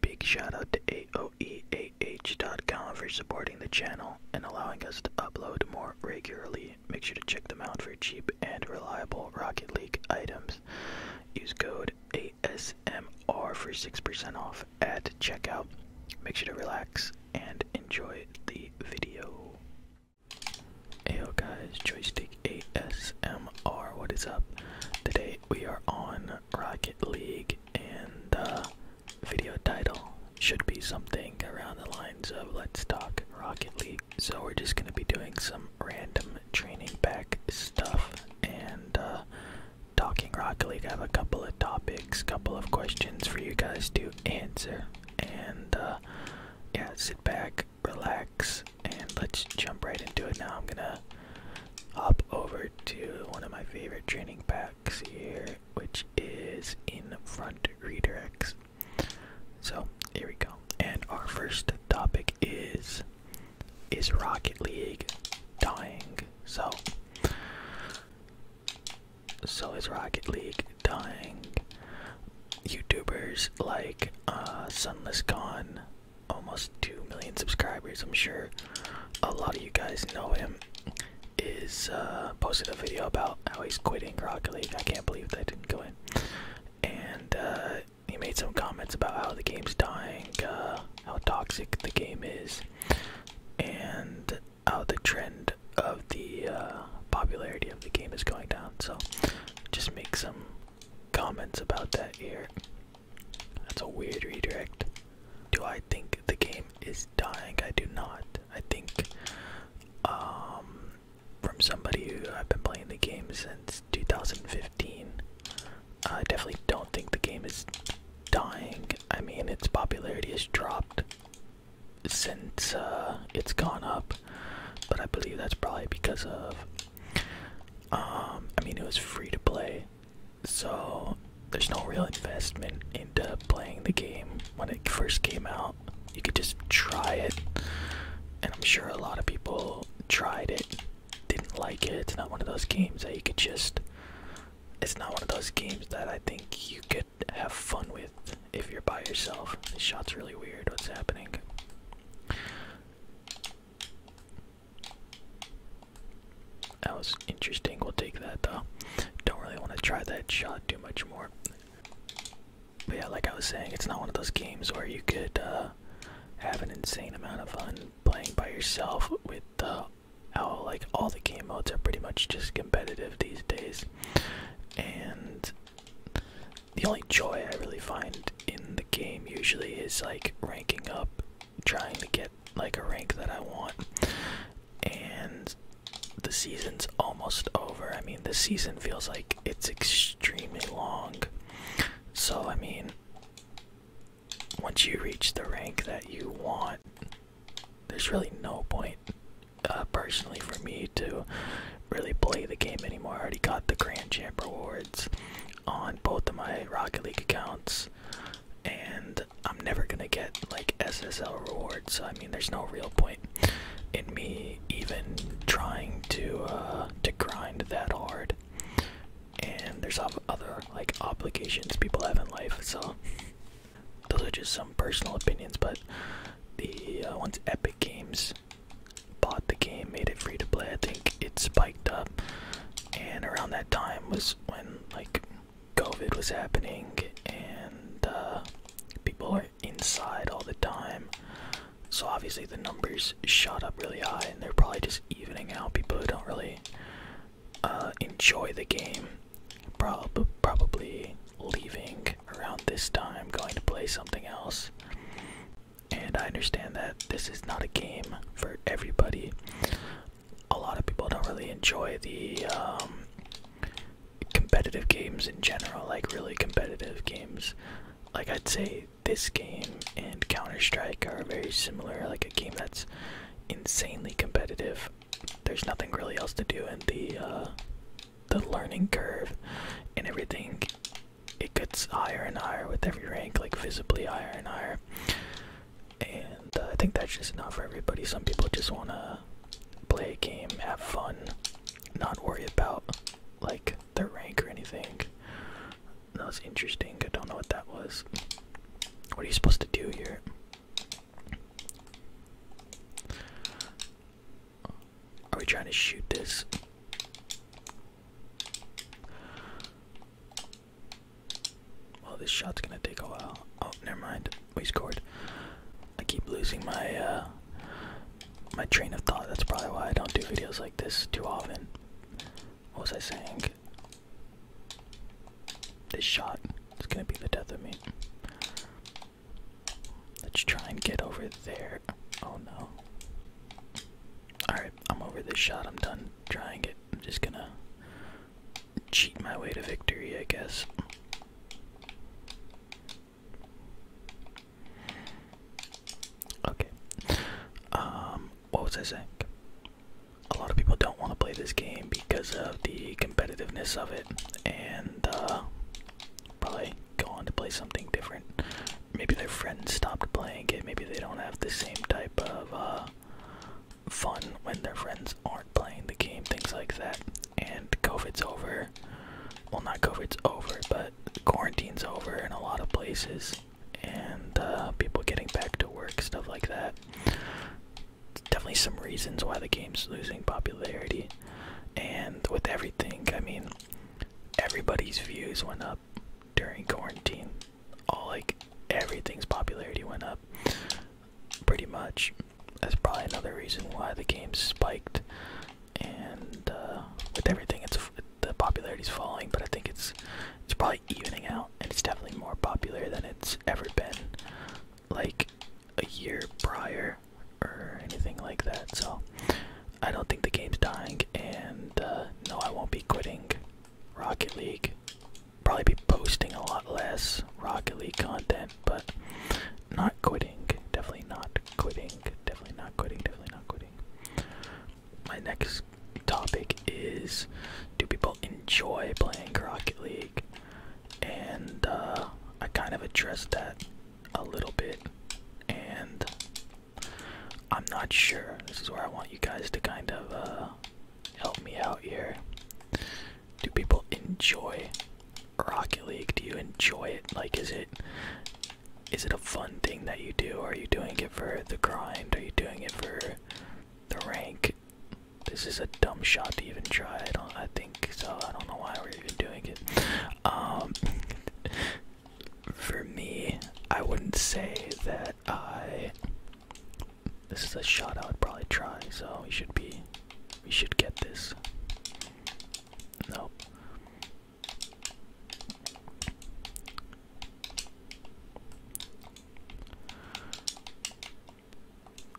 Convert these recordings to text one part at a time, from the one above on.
Big shout out to AOEAH.com for supporting the channel and allowing us to upload more regularly. Make sure to check them out for cheap and reliable Rocket League items. Use code ASMR for 6% off at checkout. Make sure to relax and enjoy the video. Heyo guys, Joystick ASMR, what is up? Today we are on Rocket League, and the video title should be something around the lines of Let's Talk Rocket League. So, we're just going to be doing some random training back stuff and uh, talking Rocket League. I have a couple of topics, couple of questions for you guys to answer, and uh, yeah, sit back, relax, and let's jump right into it now. I'm gonna hop over to one of my favorite training packs here, which is in front redirects. So here we go. And our first topic is is Rocket League dying? So so is Rocket League dying? YouTubers like uh Sunless Con almost 2 million subscribers, I'm sure a lot of you guys know him, is uh, posted a video about how he's quitting Rocket League. I can't believe that didn't go in. And uh, he made some comments about how the game's dying, uh, how toxic the game is, and how the trend of the popularity of the game is going down. So just make some comments about that here that's a weird redirect. Do I think the game is dying? I do not. I think um, from somebody who I've been playing the game since 2015, I definitely don't think the game is dying. I mean, its popularity has dropped since uh, it's gone up, but I believe that's probably because of um, I mean, it was free to play, so there's no real investment into playing the game when it first came out. You could just try it, and I'm sure a lot of people tried it, didn't like it. It's not one of those games that you could just. It's not one of those games that I think you could have fun with if you're by yourself. This shot's really weird. What's happening? That was interesting. We'll take that though. Don't really want to try that shot too much more. But yeah, like I was saying, it's not one of those games where you could uh, have an insane amount of fun playing by yourself with uh, how like all the game modes are pretty much just competitive these days. And the only joy I really find in the game usually is like ranking up, trying to get like a rank that I want. And the season's almost over. I mean, the season feels like it's extremely long. So, I mean, once you reach the rank that you want, there's really no point, uh, personally, for me to really play the game anymore. I already got the Grand Champ rewards on both of my Rocket League accounts, and I'm never gonna get like SSL rewards. So I mean, there's no real point in me even trying to uh, to grind that hard. And there's other like obligations people have in life, so those are just some personal opinions. But the uh, one's Epic Games bought the game, made it free to play. I think it spiked up, and around that time was when like COVID was happening, and uh, people are inside all the time. So obviously the numbers shot up really high, and they're probably just evening out people who don't really uh, enjoy the game. Probably, probably leaving around this time, going to play something else. And I understand that this is not a game for everybody. A lot of people don't really enjoy the um, competitive games in general, like really competitive games. Like I'd say this game and Counter Strike are very similar, like a game that's insanely competitive. There's nothing really else to do in the uh, the learning curve and everything it gets higher and higher with every rank like visibly higher and higher and uh, i think that's just not for everybody some people just want to play a game have fun not worry about like their rank or anything that was interesting i don't know what that was what are you supposed to do here are we trying to shoot this? Well, this shot's gonna take a while. Oh, never mind. We scored. I keep losing my uh, my train of thought. That's probably why I don't do videos like this too often. What was I saying? This shot is gonna be the death of me. Let's try and get over there. Oh no. Alright, I'm over this shot. I'm done trying it. I'm just gonna cheat my way to victory, I guess. Okay. Um, what was I saying? A lot of people don't want to play this game because of the competitiveness of it and uh, probably go on to play something different. Maybe their friends stopped playing it. Maybe they don't have the same type of uh, fun when their friends aren't playing the game, things like that. And COVID's over. Well, not COVID's over, but quarantine's over in a lot of places. And uh, people getting back to work, stuff like that. Definitely some reasons why the game's losing popularity. And with everything, I mean, everybody's views went up during quarantine. All like everything's popularity went up pretty much. That's probably another reason why the game spiked. And uh, with everything, it's the popularity's falling, but I think it's it's probably evening out, and it's definitely more popular than it's ever been. Like a year prior, or anything like that. So I don't think the game's dying, and uh, no, I won't be quitting Rocket League. Probably be posting a lot less Rocket League content, but not quitting. Definitely not quitting. Definitely not quitting. Definitely not quitting. My next topic is do people enjoy playing Rocket League? And uh, I kind of addressed that a little bit, and I'm not sure. This is where I want you guys to kind of uh, help me out here. Do people enjoy Rocket League? Do you enjoy it? Like, is it is it a fun thing that you do? Are you doing it for the grind? Are you doing it for the rank? This is a dumb shot to even try. I don't. I think so I don't know why we're even doing it. Um, for me, I wouldn't say that I. This is a shot I would probably try, so we should be. We should get this. No.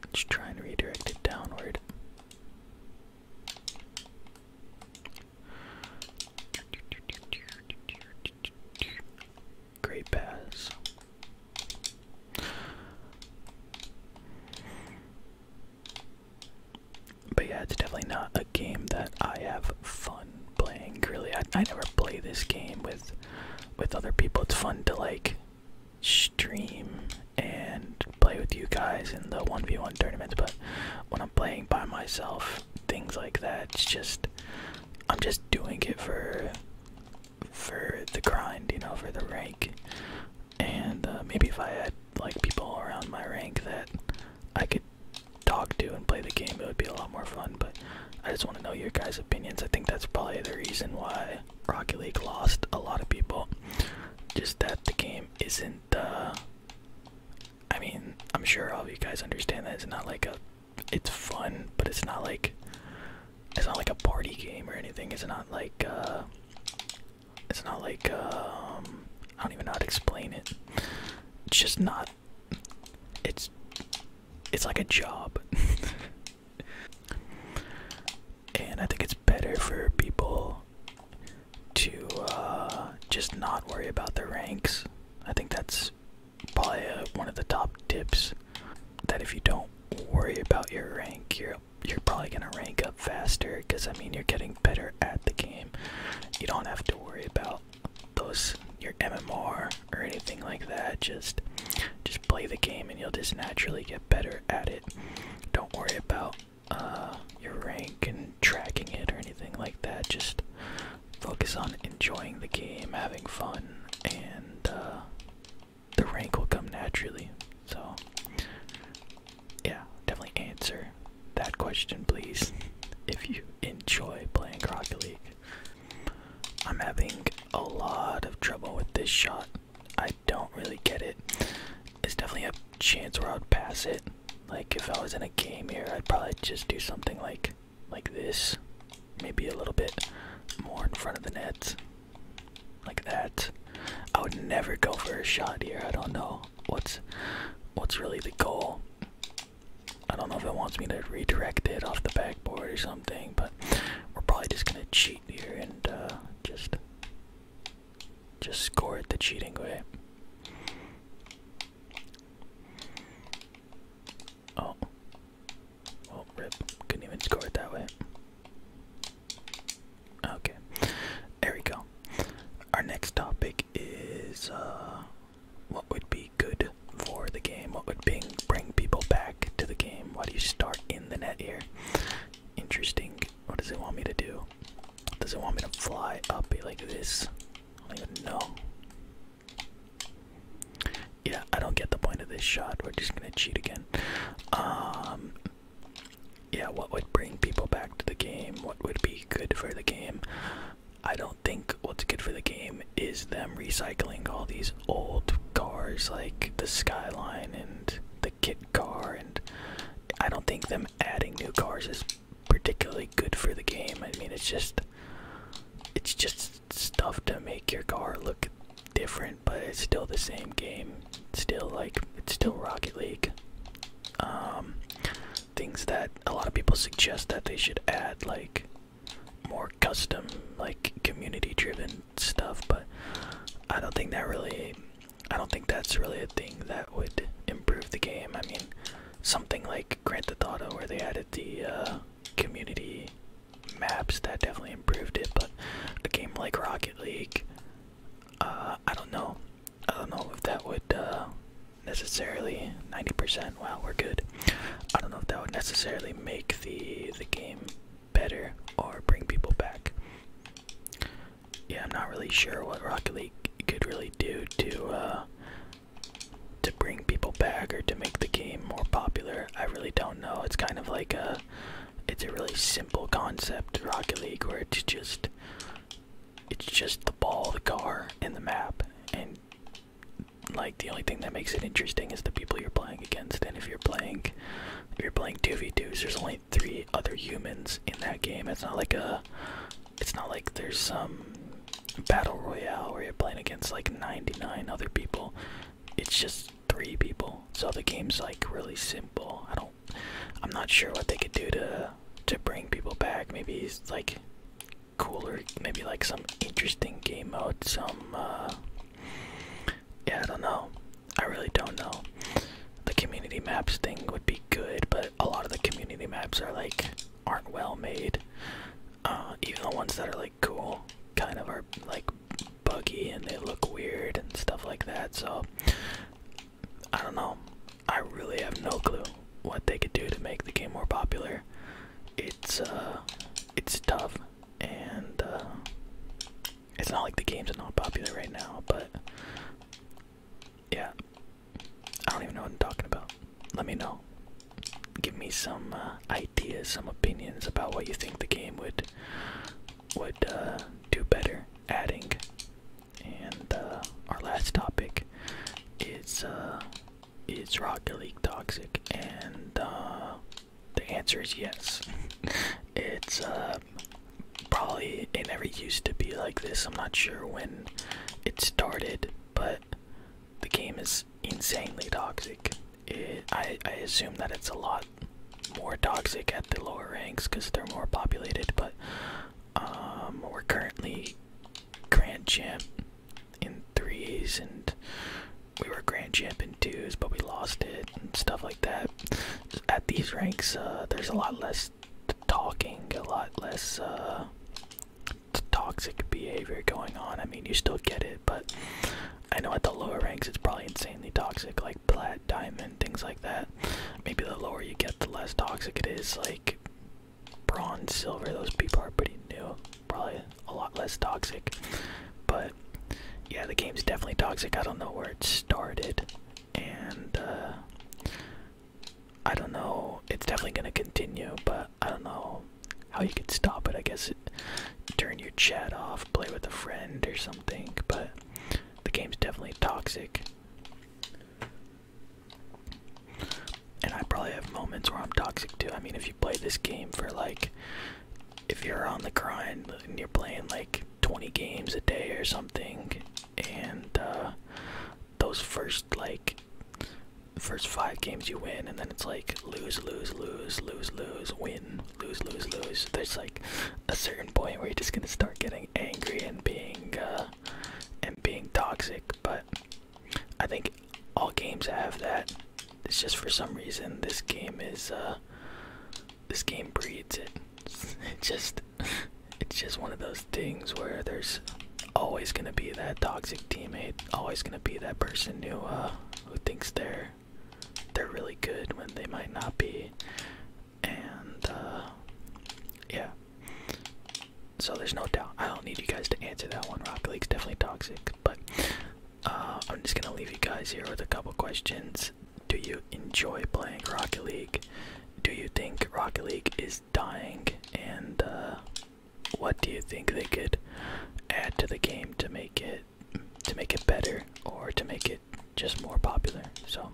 let try and redirect it downward. Great pass. But yeah, it's definitely not a game that I have fun playing. Really, I never play this game with with other people. It's fun to like stream and play with you guys in the 1v1 tournaments, but when I'm playing by myself, things like that, it's just I'm just doing it for for the grind, you know, for the rank. And uh, maybe if I had like people around my rank that I could talk to and play the game, it would be a lot more fun. But I just want to know your guys' opinions. I think that's probably the reason why Rocket League lost a lot of people just that the game isn't uh I mean, I'm sure all of you guys understand that it's not like a it's fun, but it's not like it's not like a party game or anything. It's not like uh it's not like um I don't even know how to explain it. It's just not it's it's like a job. and I think it's better for people to uh, just not worry about their ranks. I think that's probably uh, one of the top tips that if you don't worry about your rank, you're you're probably gonna rank up faster because I mean you're getting better at the game. You don't have to worry about those your MMR or anything like that. Just just play the game and you'll just naturally get better at it. Don't worry about uh, your rank and tracking it or anything like that. Just focus on enjoying the game, having fun, and uh, the rank will come naturally. So, yeah, definitely answer that question, please, if you enjoy playing Rocket League. I'm having a lot of trouble with this shot. I don't really get it. It's definitely a chance where I'd pass it. Like if I was in a game here, I'd probably just do something like like this. Maybe a little bit more in front of the net. Like that. I would never go for a shot here. I don't know what's what's really the goal. I don't know if it wants me to redirect it off the backboard or something, but we're probably just gonna cheat here and uh, just just score it the cheating way. Oh, well, oh, rip. Couldn't even score it that way. Okay, there we go. Our next topic is uh, what would be good for the game? What would bring bring people back to the game? Why do you start the net here. Interesting. What does it want me to do? Does it want me to fly up like this? I don't even know. Yeah, I don't get the point of this shot. We're just gonna cheat again. Um, yeah, what would bring people back to the game? What would be good for the game? I don't think what's good for the game is them recycling all these old cars like the Skyline and the Kit car, and I don't think them adding new cars is particularly good for the game. I mean, it's just it's just stuff to make your car look different, but it's still the same game. It's still like it's still Rocket League. Um, things that a lot of people suggest that they should add, like more custom, like community-driven stuff, but I don't think that really I don't think that's really a thing that would improve the game. I mean, something like Grand Theft Auto where they added the uh, community maps that definitely improved it, but a game like Rocket League, uh, I don't know. I don't know if that would uh, necessarily 90%. Wow, we're good. I don't know if that would necessarily make the the game better or bring people back. Yeah, I'm not really sure what Rocket League could really do to uh, to bring people back or to make the game more popular. I really don't know. It's kind of like a it's a really simple concept, Rocket League, where it's just it's just the ball, the car, and the map, and like the only thing that makes it interesting is the people you're playing against. And if you're playing, you're playing two v twos, there's only three other humans in that game. It's not like a, it's not like there's some battle royale where you're playing against like 99 other people. It's just three people. So the game's like really simple. I don't, I'm not sure what they could do to to bring people back. Maybe like cooler, maybe like some interesting game mode, some. Uh, yeah, I don't know. I really don't know. The community maps thing would be good, but a lot of the community maps are like aren't well made. Uh, even the ones that are like cool kind of are like buggy and they look weird and stuff like that. So I don't know. I really have no clue what they could do to make the game more popular. It's uh it's tough and uh, it's not like the game's are not popular right now, but yeah, I don't even know what I'm talking about. Let me know. Give me some uh, ideas, some opinions about what you think the game would would uh, do better adding. And our last topic is is Rocket League toxic? And uh, the answer is yes. it's uh, probably it never used to be like this. I'm not sure when it started, but the game is insanely toxic. I, assume that it's a lot more toxic at the lower ranks because they're more populated, but um, we're currently Grand Champ in threes and we were grand champion in twos but we lost it and stuff like that at these ranks uh, there's a lot less talking a lot less uh, toxic behavior going on i mean you still get it but i know at the lower ranks it's probably insanely toxic like plat diamond things like that maybe the lower you get the less toxic it is like bronze silver those people are pretty new probably a lot less toxic. But yeah, the game's definitely toxic. I don't know where it started, and uh, I don't know. It's definitely gonna continue, but I don't know how you could stop it. I guess turn your chat off, play with a friend or something. But the game's definitely toxic. And I probably have moments where I'm toxic too. I mean, if you play this game for like, if you're on the grind and you're playing like 20 games a day or something, and uh, those first like, first five games you win, and then it's like lose, lose, lose, lose, lose, win, lose, lose, lose. There's like a certain point where you're just gonna start getting angry and being uh, and being toxic, but I think all games have that. It's just for some reason this game is uh this game breeds it. It's just it's just one of those things where there's always gonna be that toxic teammate, always gonna be that person who uh who thinks they're they're really good when they might not be. And uh yeah. So there's no doubt. I don't need you guys to answer that one. Rocket League's definitely toxic, but uh, I'm just gonna leave you guys here with a couple questions. Do you enjoy playing Rocket League? Do you think Rocket League is dying? And uh, what do you think they could add to the game to make it to make it better or to make it just more popular? So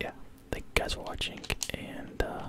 yeah, thank you guys for watching, and uh,